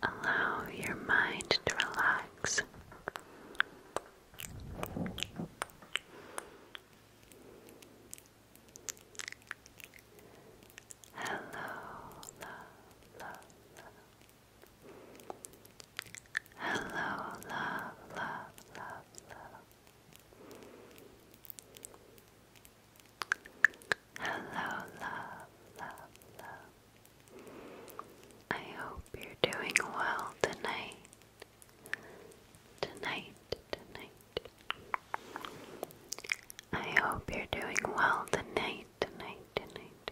Allow your mind to relax. Hello, love, love, love. Hello, love, love, love, love. Hello, love, love, love. I hope you're doing well tonight. Tonight, tonight. I hope you're doing well tonight, tonight, tonight,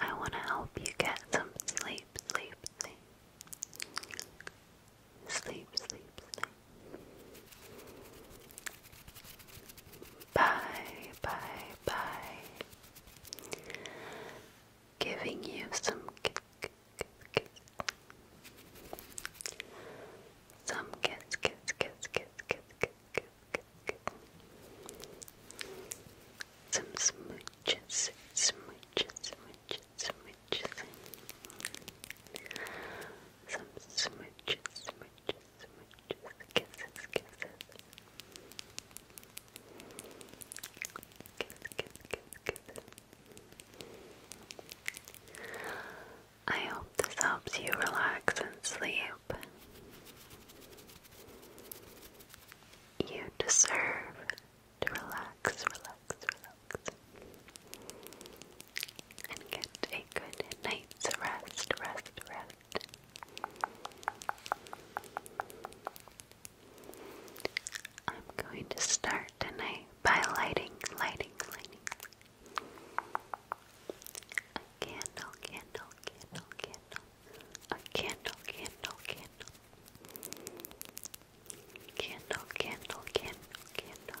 I want to help you get some sleep, sleep, sleep. Sleep, sleep, sleep. Bye, bye, bye. Giving you some kiss, kiss, kiss. Some kiss, kiss, kiss, kiss, kiss, kiss, kiss, kiss, kiss. Some smooches, smooches, smooches, smooches. Some smooches, smooches, smooches, kisses, kisses. Kiss, kiss, kiss, kisses. I hope this helps you relax and sleep. You deserve to relax, relax, relax and get a good night's rest, rest, rest. I'm going to start tonight by lighting, lighting, lighting a candle, candle, candle, candle, a candle, candle, candle, candle, candle, candle, candle.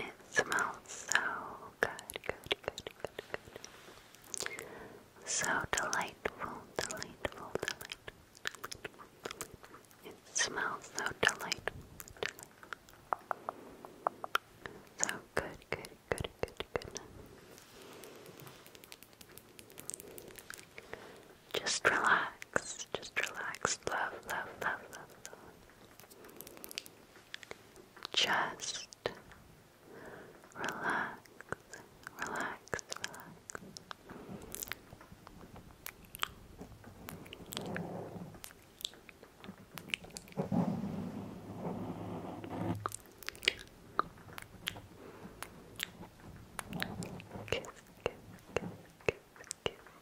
It smells so good, good, good, good, good. So delightful, delightful, delightful, It smells so delightful, delightful. So good, good, good, good, good. Just relax, just relax. Love, love, love, love, love. Just relax, relax, relax. Kiss, kiss, kiss, kiss, kiss,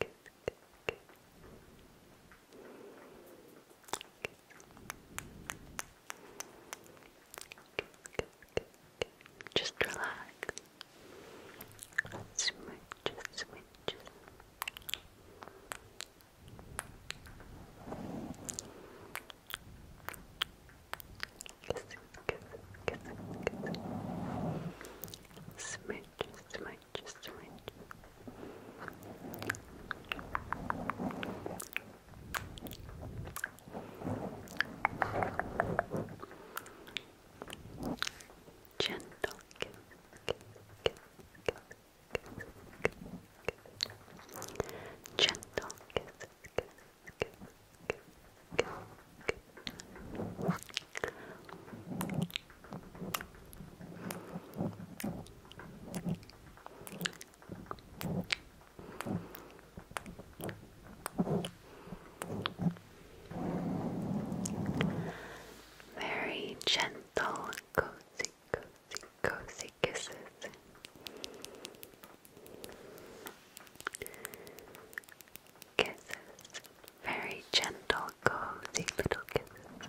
kiss, kiss, kiss. Just relax. Smooch, smooch. Kisses, kisses, kisses, kisses. Smooch, orange, just orange. Gentle kiss, kiss, kiss, kiss, kiss, kiss. Gentle kiss, kiss, kiss, kiss, kiss, kiss. Very gentle, cozy, cozy, cozy kisses. Kisses, very gentle, cozy little kisses.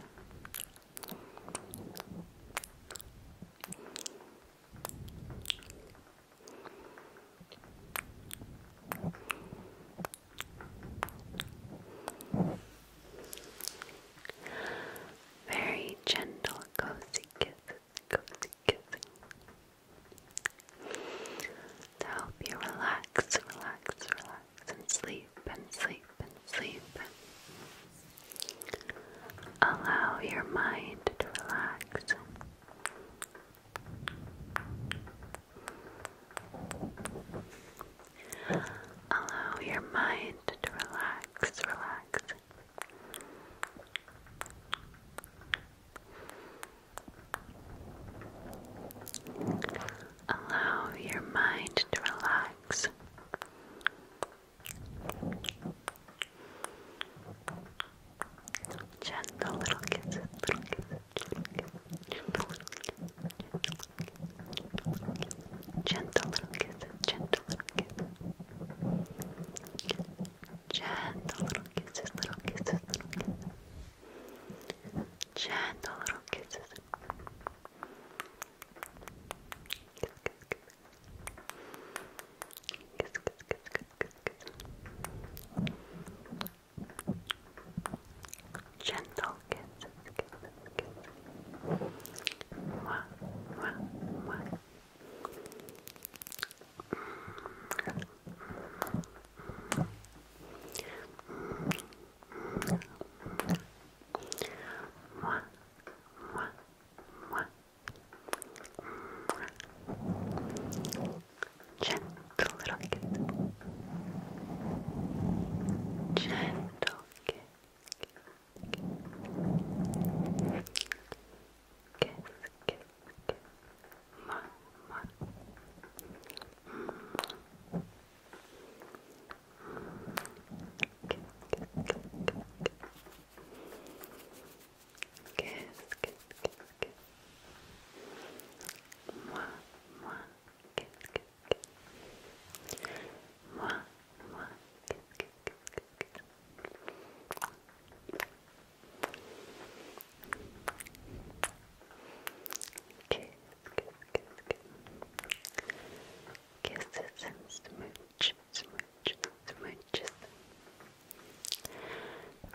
Very gentle, cozy kisses, cozy kisses. To help you relax, relax, relax and sleep and sleep and sleep. Allow your mind to relax. Allow your mind to relax, relax. Allow your mind to relax, relax. Gentle little kisses, little kisses, little kisses, gentle little kisses, gentle little kisses, gentle little kisses, gentle little kisses, little kisses, little kisses, gentle little kisses, Kiss, kiss, kiss. Kiss, kiss, kiss, kiss, kiss, kiss. Gentle kisses, kisses, kisses. Mwah, mwah, mwah. Mm -hmm. Mm -hmm. Mm -hmm. Gentle little kiss. Gentle kiss. Kiss, kiss, kiss. Mwah, mwah. Kiss, kiss, kiss, kiss. Mwah, mwah, kiss, kiss, kiss. Mwah, mwah, kiss, kiss, kiss, kiss, kiss. Kiss, kiss, kiss, kiss. Kisses smooch, smooch, smooches.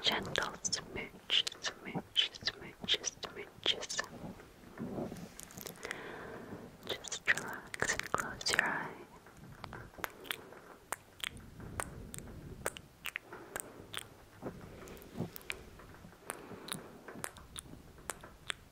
Gentle smooch, smooch, smooches, smooches. Just relax and close your Just relax and close your eyes.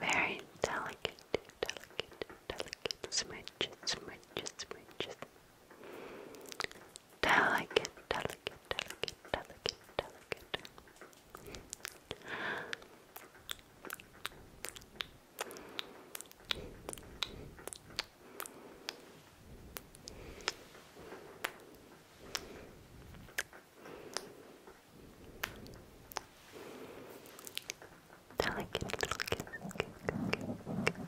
Very delicate, delicate, delicate smudges, smudges, smudges. Delicate, delicate, delicate, delicate, delicate. Delicate, delicate, delicate,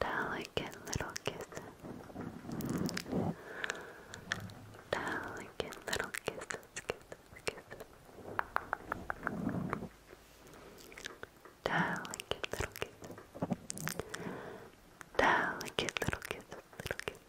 delicate little kiss. Delicate little kisses, kisses, kisses. Delicate little kisses. Delicate little kisses, little kisses.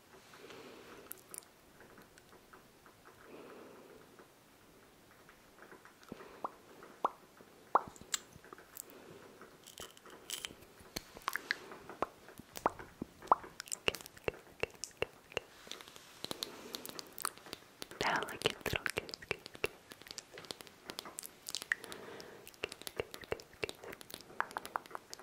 Delicate little kiss, kiss, kiss. Kiss, kiss, kiss, kiss.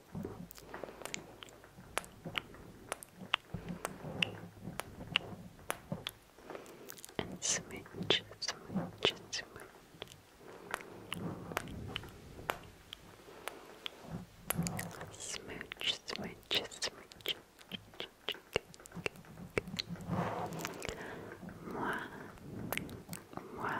And smidge, smidge, smidge. Smooch, smooch, smooch. Moi, moi,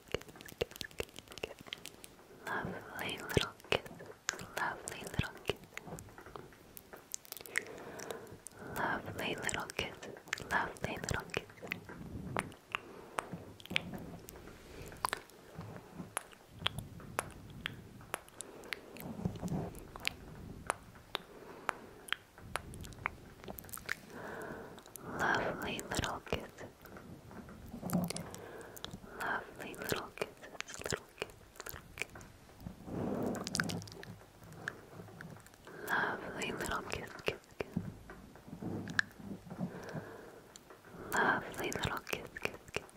kiss, kiss. Lovely little kiss. Lovely little kiss. Lovely little kiss. Lovely little kiss. Lovely Lovely little kisses. Lovely little kisses. Little kisses. Lovely little kiss, kiss, Lovely little kiss, kiss, kiss.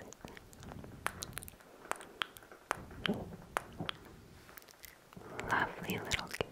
Lovely little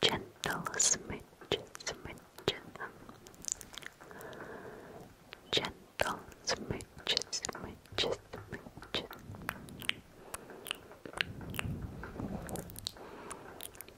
Gentle smidge, smidge, um, gentle smidge, smidge, smidge.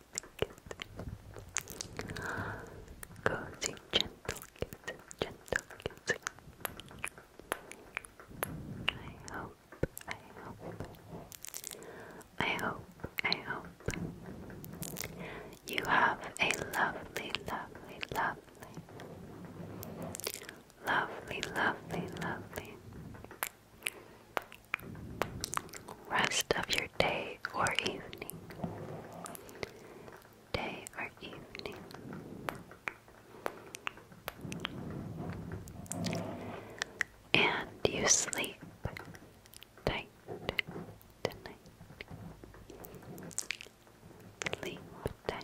kiss. Cozy, gentle gentle I hope, I hope, I hope, I hope you have a lovely, lovely, lovely, lovely, lovely, lovely rest of your day day or evening. Day or evening. And you sleep tight tonight. Sleep tight.